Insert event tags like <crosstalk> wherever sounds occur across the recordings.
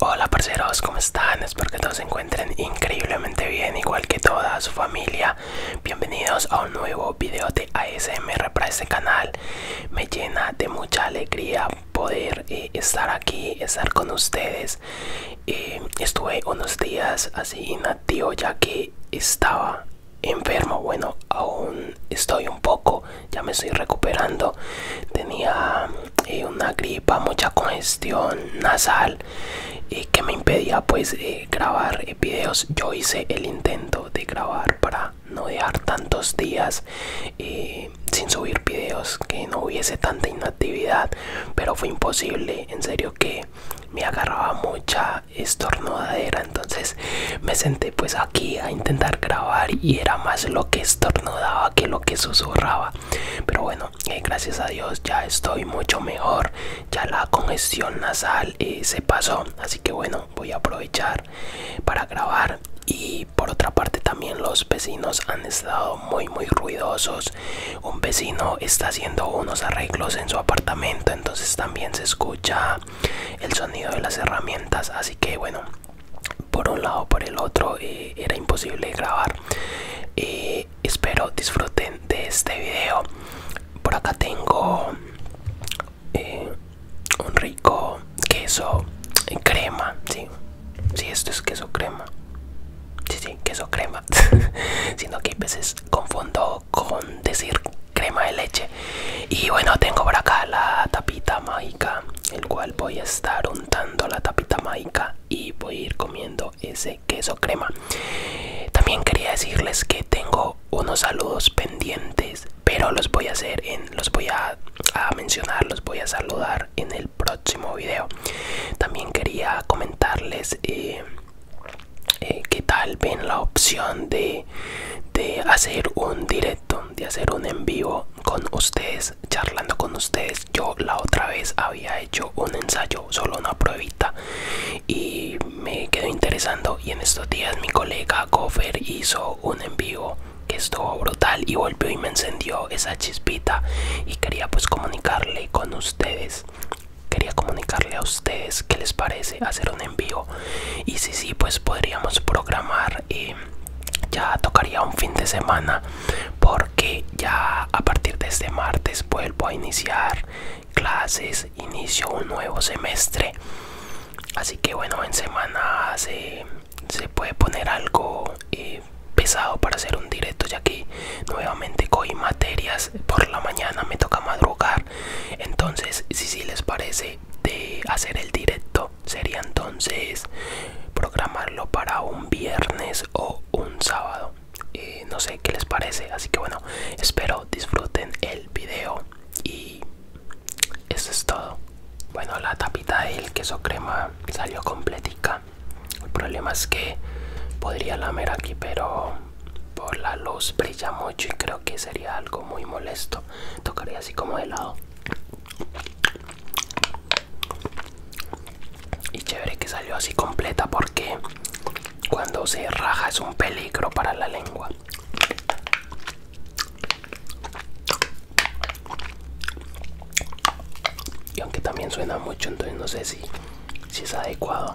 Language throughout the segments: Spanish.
Hola parceros, ¿cómo están? Espero que todos se encuentren increíblemente bien, igual que toda su familia. Bienvenidos a un nuevo video de ASMR para este canal. Me llena de mucha alegría poder eh, estar aquí, estar con ustedes. Eh, estuve unos días así nativo ya que estaba enfermo. Bueno, aún estoy un poco, ya me estoy recuperando. Tenía eh, una gripa, mucha congestión nasal y eh, que me impedía pues eh, grabar videos. Yo hice el intento de grabar para no dejar tantos días sin subir videos, que no hubiese tanta inactividad, pero fue imposible, en serio que me agarraba mucha estornudadera, entonces me senté pues a aquí a intentar grabar y era más lo que estornudaba que lo que susurraba pero bueno eh, gracias a Dios ya estoy mucho mejor ya la congestión nasal eh, se pasó así que bueno voy a aprovechar para grabar y por otra parte también los vecinos han estado muy muy ruidosos un vecino está haciendo unos arreglos en su apartamento entonces también se escucha el sonido de las herramientas así que bueno por un lado por el otro era imposible grabar espero disfruten de este video por acá tengo eh, un rico queso eh, crema si esto es queso crema si si queso crema <laughs> sino que a veces confundo con decir crema de leche y bueno tengo por acá la tapita mágica el cual voy a estar untando la tapita mágica y voy a ir comiendo ese queso crema también quería decirles que tengo unos saludos pendientes pero los voy a hacer en los voy a, mencionar los voy a saludar en el próximo video también quería comentarles que eh, eh, qué tal ven la opción de hacer un directo de hacer un en vivo con ustedes charlando con ustedes yo la otra vez había hecho un ensayo solo una pruebita y me quedó interesando y en estos días mi colega Gofer hizo un en vivo que estuvo brutal y volvió y me encendió esa chispita y quería pues comunicarle con ustedes quería comunicarle a ustedes ustedes qué les parece hacer un envío y si sí pues podríamos programar eh, ya tocaría un fin de semana porque ya a partir de este martes vuelvo a iniciar clases inicio un nuevo semestre así que bueno en semana se, puede poner algo eh, pesado para hacer un directo ya que nuevamente cogí materias por la mañana me toca madrugar entonces si si les parece de, hacer el directo sería entonces programarlo para un viernes o un sábado eh, no sé qué les parece así que bueno espero disfruten el video y eso es todo bueno la tapita del queso crema salió completica el problema es que podría lamer aquí pero por la luz brilla mucho y creo que sería algo muy molesto tocaría así como de lado y chévere que salió así completa porque cuando se raja es un peligro para la lengua y aunque también suena mucho entonces no sé si, si es adecuado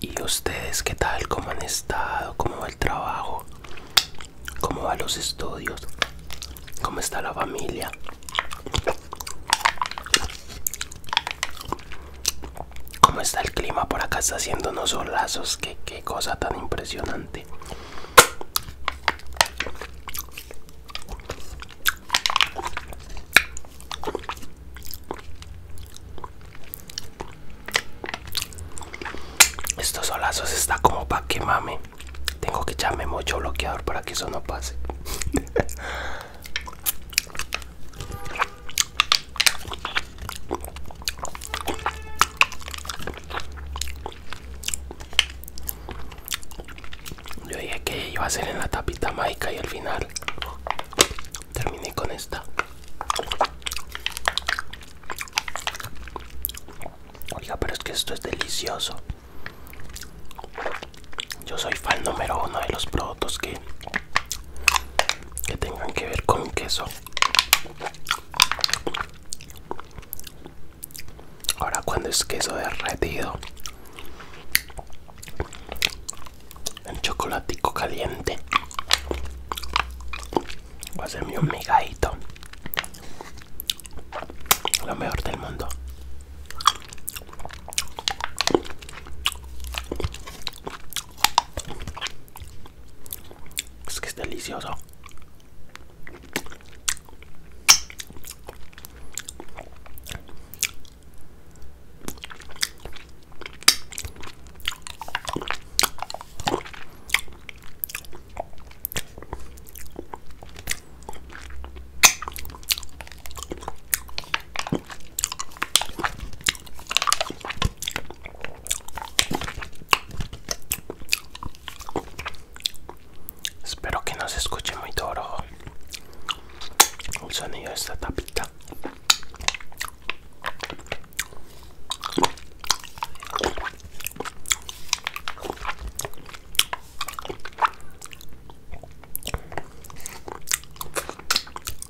¿Y ustedes qué tal? ¿Cómo han estado? ¿Cómo va el trabajo? ¿Cómo van los estudios? ¿Cómo está la familia? ¿Cómo está el clima? Por acá está haciendo unos solazos. qué cosa tan impresionante. Estos solazos está como para que mame. Tengo que echarme mucho bloqueador para que eso no pase. <laughs> Yo dije que iba a ser en la tapita mágica y al final terminé con esta. Oiga, pero es que esto es delicioso. Yo soy fan número uno de los productos que, que tengan que ver con queso. Ahora cuando es queso derretido en chocolatico caliente voy a hacerme un migadito lo mejor del mundo es que es delicioso. Espero que no se escuche muy toro el sonido de esta tapita.